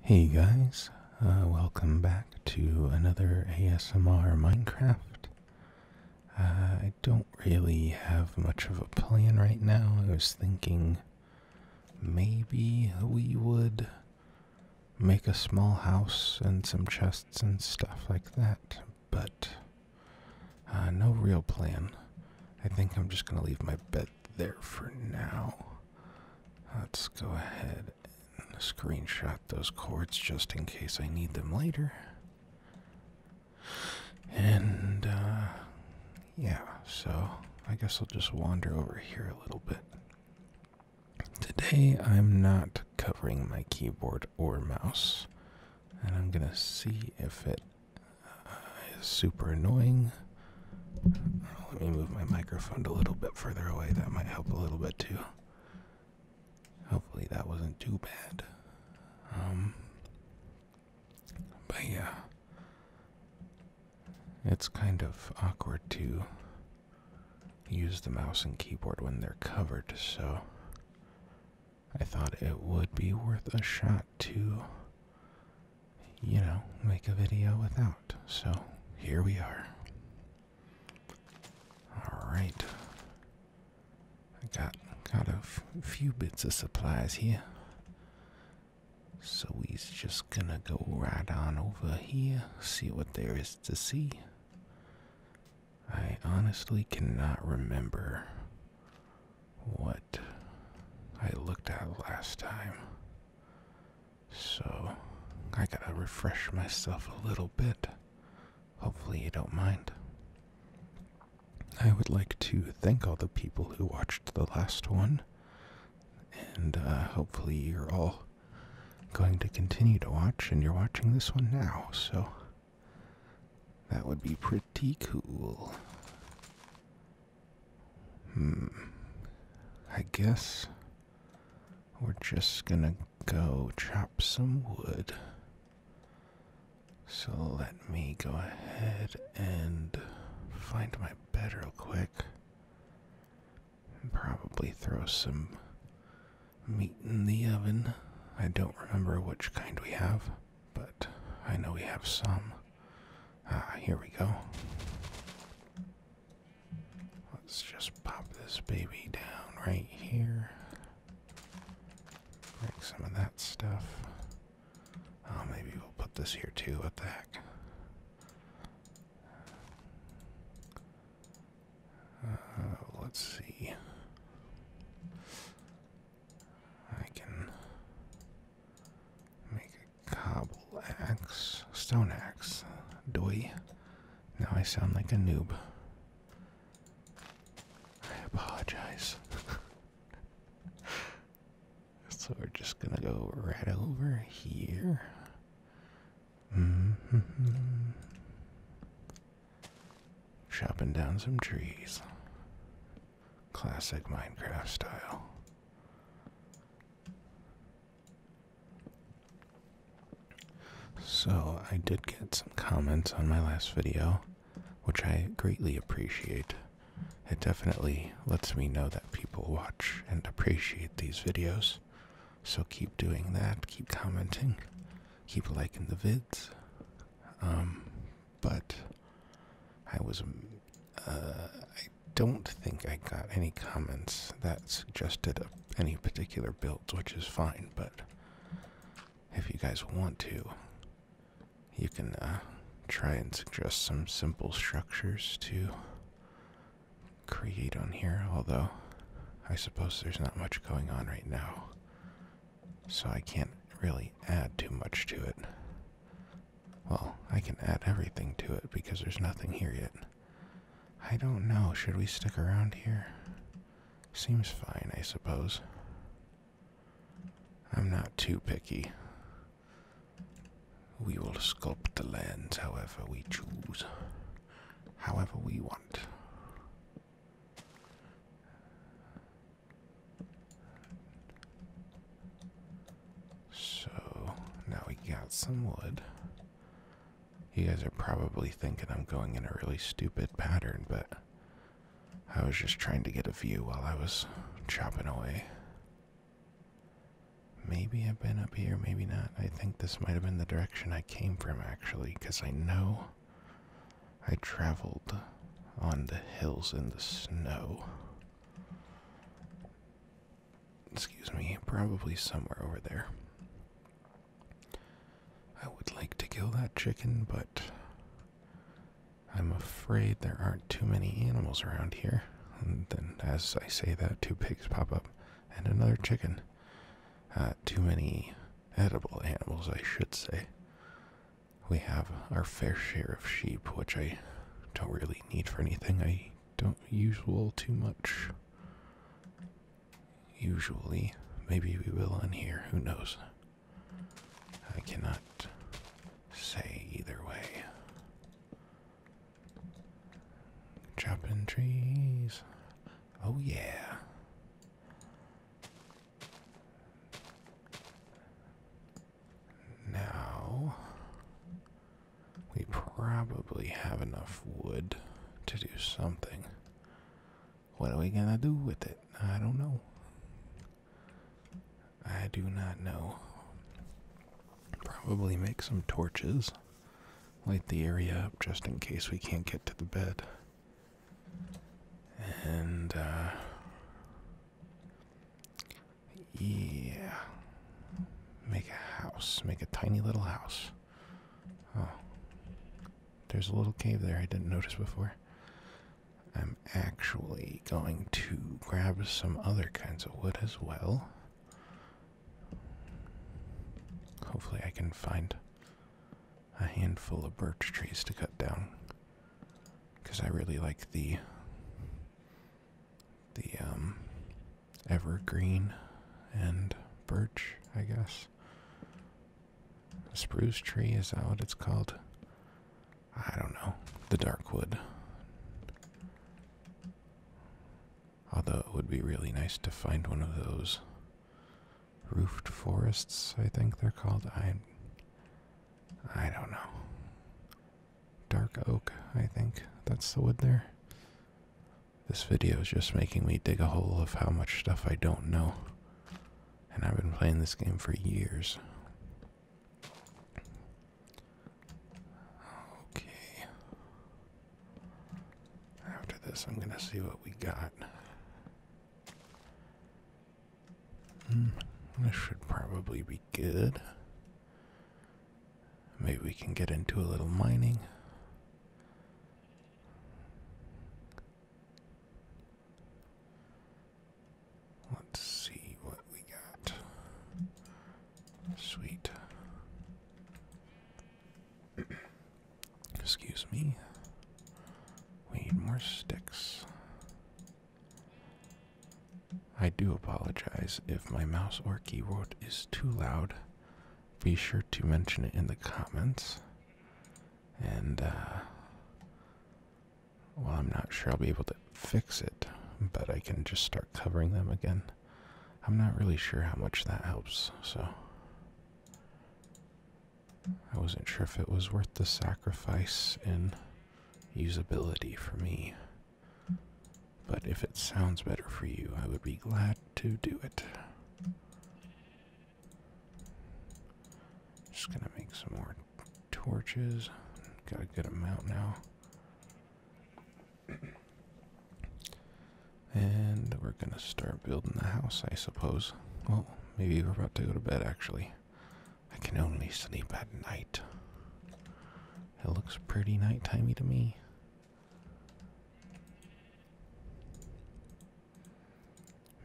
Hey guys, uh, welcome back to another ASMR Minecraft. Uh, I don't really have much of a plan right now. I was thinking maybe we would make a small house and some chests and stuff like that, but uh, no real plan. I think I'm just going to leave my bed there for now. Let's go ahead and screenshot those cords just in case I need them later. And, uh, yeah, so I guess I'll just wander over here a little bit. Today I'm not covering my keyboard or mouse, and I'm gonna see if it uh, is super annoying let me move my microphone a little bit further away. That might help a little bit too. Hopefully that wasn't too bad. Um but yeah. It's kind of awkward to use the mouse and keyboard when they're covered, so I thought it would be worth a shot to you know, make a video without. So here we are. Alright. I got got a few bits of supplies here. So he's just gonna go right on over here, see what there is to see. I honestly cannot remember what I looked at last time. So I gotta refresh myself a little bit. Hopefully, you don't mind. I would like to thank all the people who watched the last one, and uh, hopefully, you're all going to continue to watch and you're watching this one now, so that would be pretty cool. Hmm. I guess we're just gonna go chop some wood. So let me go ahead and find my bed real quick. And probably throw some meat in the oven. I don't remember which kind we have but I know we have some. Ah, here we go. Let's just pop this baby down right here. Break some of that stuff. Oh, maybe we'll put this here too. What the heck? Uh, let's see. I can make Cobble axe. Stone axe. Doy. Now I sound like a noob. I apologize. so we're just gonna go right over here. Mm-hmm. Chopping down some trees. Classic Minecraft style. So, I did get some comments on my last video, which I greatly appreciate. It definitely lets me know that people watch and appreciate these videos. So, keep doing that, keep commenting, keep liking the vids. Um, but I was uh, I don't think I got any comments that suggested any particular build, which is fine, but if you guys want to, you can uh, try and suggest some simple structures to create on here, although I suppose there's not much going on right now, so I can't really add too much to it. Well, I can add everything to it because there's nothing here yet. I don't know. Should we stick around here? Seems fine, I suppose. I'm not too picky. We will sculpt the lands however we choose, however we want. So now we got some wood. You guys are probably thinking I'm going in a really stupid pattern, but I was just trying to get a view while I was chopping away. Maybe I've been up here, maybe not. I think this might have been the direction I came from, actually, because I know I traveled on the hills in the snow. Excuse me, probably somewhere over there. I would like to kill that chicken, but I'm afraid there aren't too many animals around here. And then, as I say that, two pigs pop up and another chicken. Uh, too many edible animals, I should say we have our fair share of sheep, which I don't really need for anything. I don't use wool too much. Usually, maybe we will on here, who knows? I cannot say either way. Chopping trees. Oh, yeah. Now, we probably have enough wood to do something. What are we gonna do with it? I don't know. I do not know. Probably make some torches. Light the area up just in case we can't get to the bed. And, uh, yeah. Make a house. Make a tiny little house. Oh. There's a little cave there I didn't notice before. I'm actually going to grab some other kinds of wood as well. Hopefully, I can find a handful of birch trees to cut down because I really like the the um, evergreen and birch, I guess. The spruce tree is that what it's called? I don't know. The dark wood. Although it would be really nice to find one of those roofed forests, I think they're called. I I don't know. Dark oak, I think. That's the wood there. This video is just making me dig a hole of how much stuff I don't know. And I've been playing this game for years. Okay. After this, I'm going to see what we got. Hmm, this should probably be good. Maybe we can get into a little mining. Let's see what we got. Sweet. Excuse me. We need more sticks. I do apologize if my mouse or keyboard is too loud. Be sure to mention it in the comments. And, uh, well, I'm not sure I'll be able to fix it, but I can just start covering them again. I'm not really sure how much that helps, so. I wasn't sure if it was worth the sacrifice in usability for me. But if it sounds better for you, I would be glad to do it. Just gonna make some more torches. Got a good amount now. And we're gonna start building the house, I suppose. Well, Maybe we're about to go to bed, actually. I can only sleep at night. It looks pretty nighttimey to me.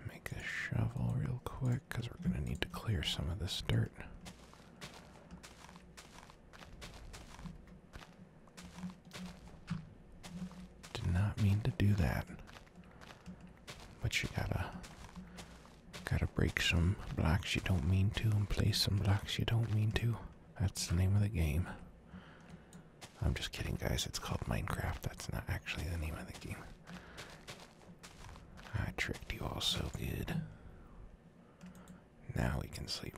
Make a shovel real quick, because we're going to need to clear some of this dirt. Did not mean to do that. But you gotta gotta break some blocks you don't mean to and place some blocks you don't mean to. That's the name of the game. I'm just kidding, guys. It's called Minecraft. That's not actually the name of the game. I tricked you all so good. Now we can sleep.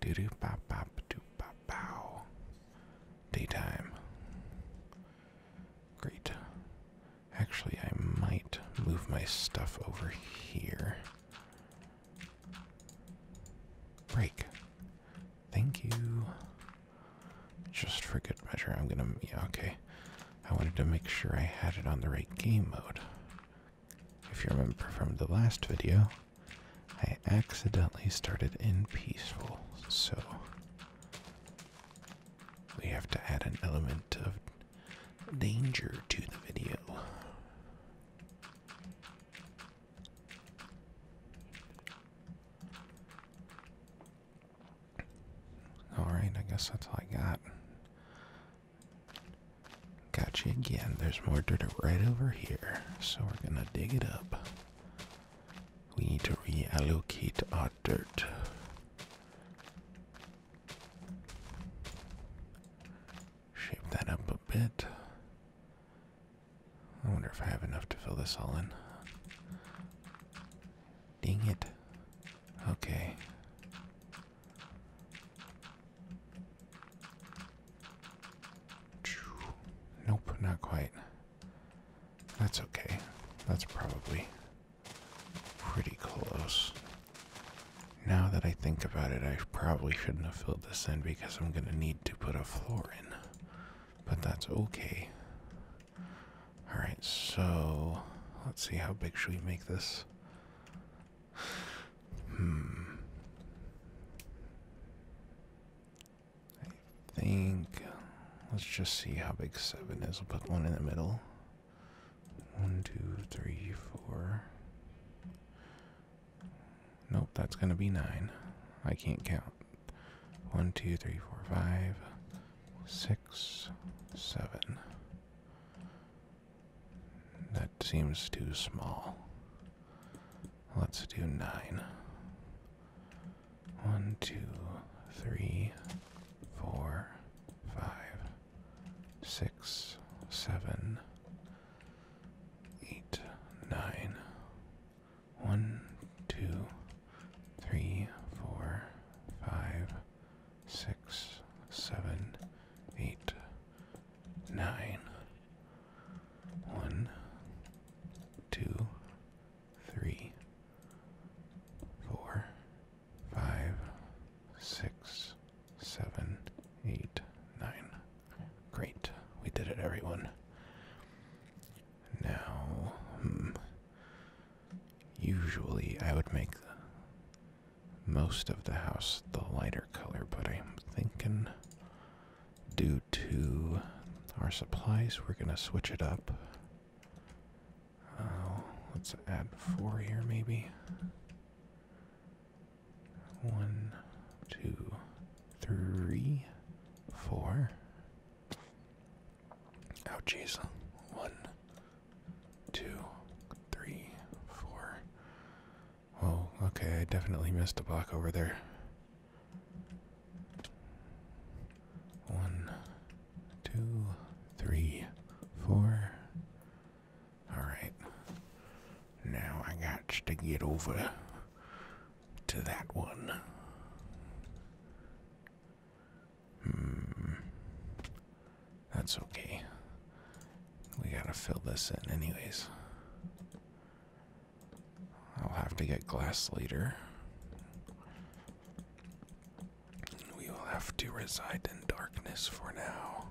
Do do pop pop do pop bow. Daytime. Great. Actually, I might move my stuff over here. Break. Thank you. Just for good measure, I'm gonna. Yeah, okay. I wanted to make sure I had it on the right game mode. If you remember from the last video, I accidentally started in peaceful, so we have to add an element of danger to the video. Alright, I guess that's all I got. Got you again. There's more dirt right over here, so we're gonna dig it up. We need to reallocate our dirt. Shape that up a bit. I wonder if I have enough to fill this all in. Dang it. Okay. Nope, not quite. That's okay. That's probably pretty close. Now that I think about it, I probably shouldn't have filled this in because I'm going to need to put a floor in. But that's okay. Alright, so let's see how big should we make this? Hmm. I think let's just see how big seven is. We'll put one in the middle. One, two, three, four. Nope, that's gonna be nine. I can't count. One, two, three, four, five, six, seven. That seems too small. Let's do nine. One, two, three, four, five, six, seven, eight, nine. One, two, three, four, five, six, seven, eight, nine. One, two, three, four, five, six, seven, eight, nine. Great, we did it, everyone. Now, hmm, usually I would make most of the house the lighter color, but I'm thinking due to our supplies, we're going to switch it up. Oh, let's add four here, maybe. One, two, three, four. Ouchies. One, two, three, four. Oh, okay, I definitely missed a block over there. One, two, three, four. Alright. Now I got to get over to that one. Hmm. That's okay. We gotta fill this in, anyways. I'll have to get glass later. We will have to reside in darkness for now.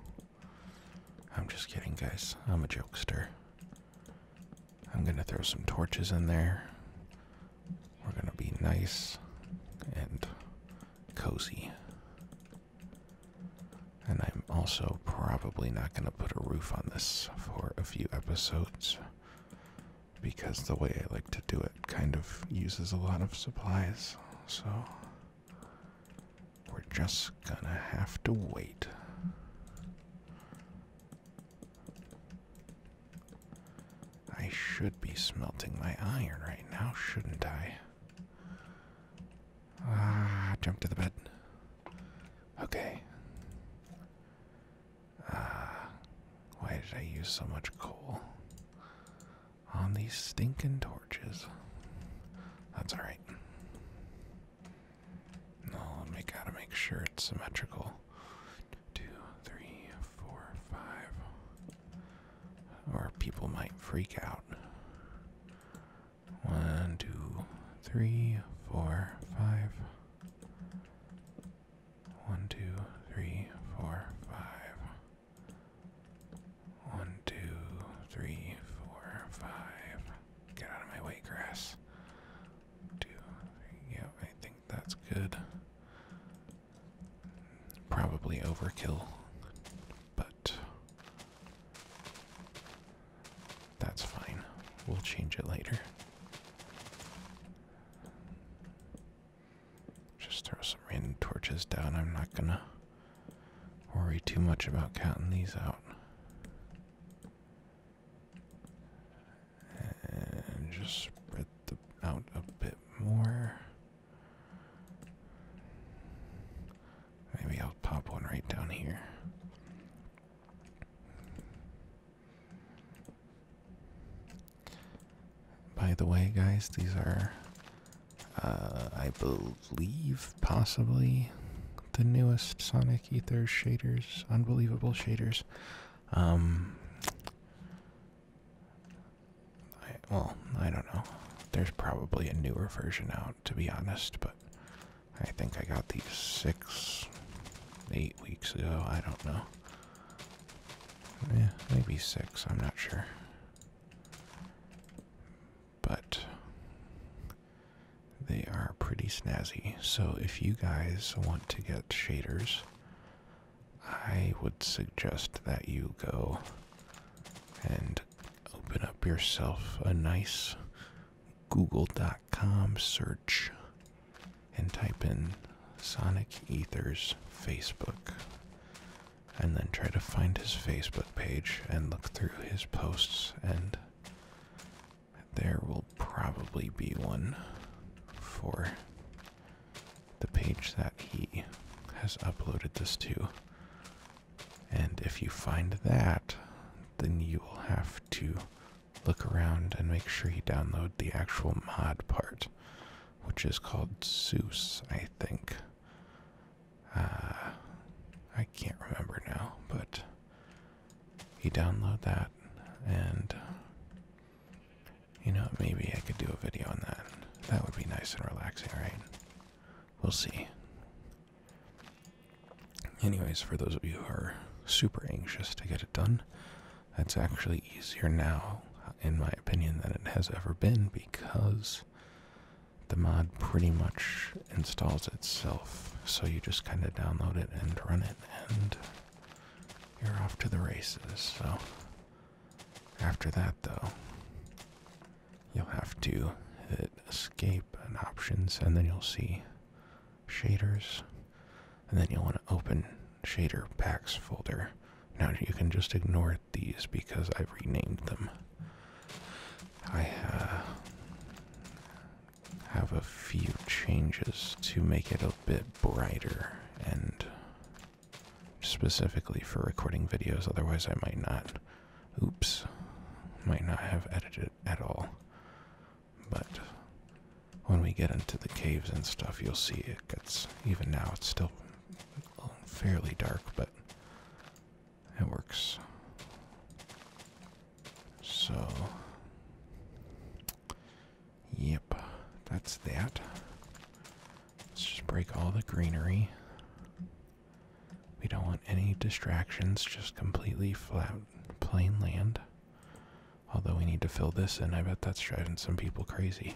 I'm just kidding, guys. I'm a jokester. I'm gonna throw some torches in there. We're gonna be nice and cozy. And I'm also probably not going to put a roof on this for a few episodes because the way I like to do it kind of uses a lot of supplies. So we're just going to have to wait. I should be smelting my iron right now, shouldn't I? Ah, jump to the bed. Okay. Ah, why did I use so much coal on these stinking torches? That's all right. I'll make gotta make sure it's symmetrical. Two, three, four, five. Or people might freak out. One, two, three, four, five. One, two, three, four, five. One, two, three, four, five. Get out of my way, grass. Two, three, yeah, I think that's good. Probably overkill, but that's fine. We'll change it later. Just throw some random torches down. I'm not gonna worry too much about counting these out. And just spread them out a bit more. Maybe I'll pop one right down here. By the way, guys, these are, uh, I believe, possibly the newest Sonic Ethers shaders. Unbelievable shaders. Um, well, I don't know. There's probably a newer version out, to be honest, but I think I got these six, eight weeks ago. I don't know. Yeah, maybe six. I'm not sure. But they are pretty snazzy. So if you guys want to get shaders, I would suggest that you go and open up yourself a nice google.com search and type in Sonic Ether's Facebook and then try to find his Facebook page and look through his posts and there will probably be one for the page that he has uploaded this to and if you find that, then you will have to look around and make sure you download the actual mod part, which is called Zeus, I think. Uh, I can't remember now, but you download that, and you know, maybe I could do a video on that. That would be nice and relaxing, right? We'll see. Anyways, for those of you who are super anxious to get it done, that's actually easier now, in my opinion, than it has ever been because the mod pretty much installs itself. So you just kind of download it and run it, and you're off to the races. So, after that, though, You'll have to hit escape and options, and then you'll see shaders, and then you'll want to open shader packs folder. Now you can just ignore these because I've renamed them. I uh, have a few changes to make it a bit brighter and specifically for recording videos, otherwise, I might not. Oops, might not have edited at all. But when we get into the caves and stuff, you'll see it gets even now, it's still fairly dark, but it works. So, yep, that's that. Let's just break all the greenery. We don't want any distractions, just completely flat, plain land. Although we need to fill this in, I bet that's driving some people crazy.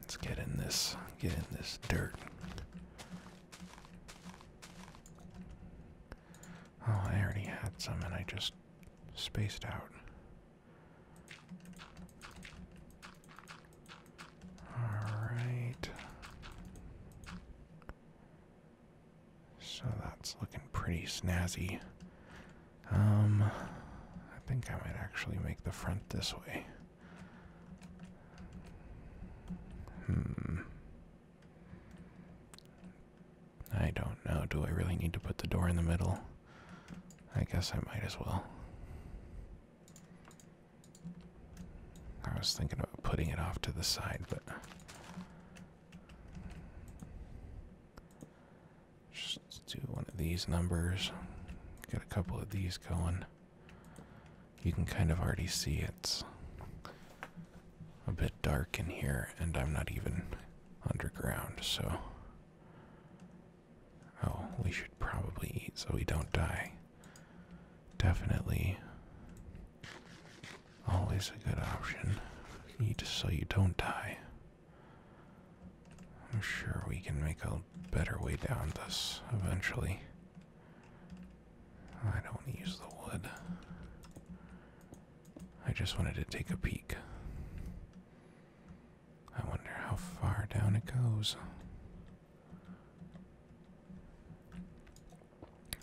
Let's get in this, get in this dirt. Oh, I already had some and I just spaced out. Alright. So that's looking pretty snazzy. Um, I think I might actually make the front this way. Hmm. I don't know. Do I really need to put the door in the middle? I guess I might as well. I was thinking about putting it off to the side, but just do one of these numbers. Get a couple of these going. You can kind of already see it's a bit dark in here, and I'm not even underground, so Oh, we should probably eat so we don't die. Definitely. Always a good option. Eat so you don't die. I'm sure we can make a better way down this eventually. I don't use the wood. I just wanted to take a peek. I wonder how far down it goes.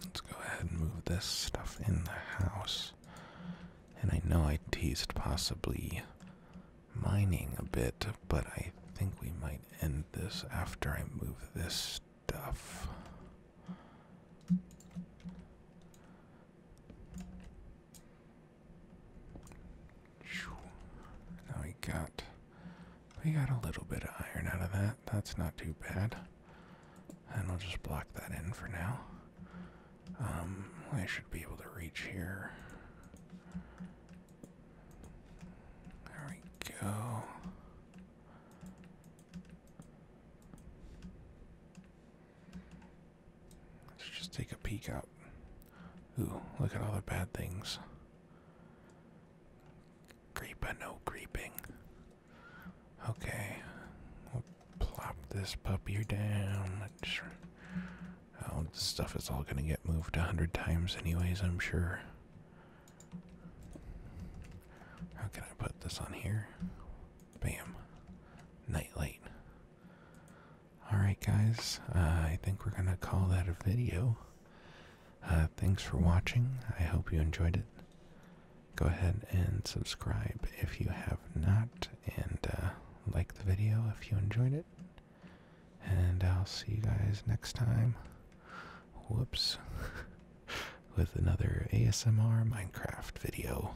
Let's go ahead and move this stuff in the house. And I know I teased possibly mining a bit, but I think we might end this after I move this stuff. Now we got we got a little bit of iron out of that. That's not too bad. And we'll just block that in for now. Um, I should be able to reach here. There we go. Let's just take a peek out. Ooh, look at all the bad things. Creeper, no creeping. Okay, we'll plop this puppy down. Just, oh, this stuff is all gonna get moved a hundred times, anyways. I'm sure. How can I put this on here? Bam. Nightlight. Alright, guys, uh, I think we're going to call that a video. Uh, thanks for watching. I hope you enjoyed it. Go ahead and subscribe if you have not, and uh, like the video if you enjoyed it. And I'll see you guys next time. Whoops. With another ASMR Minecraft video.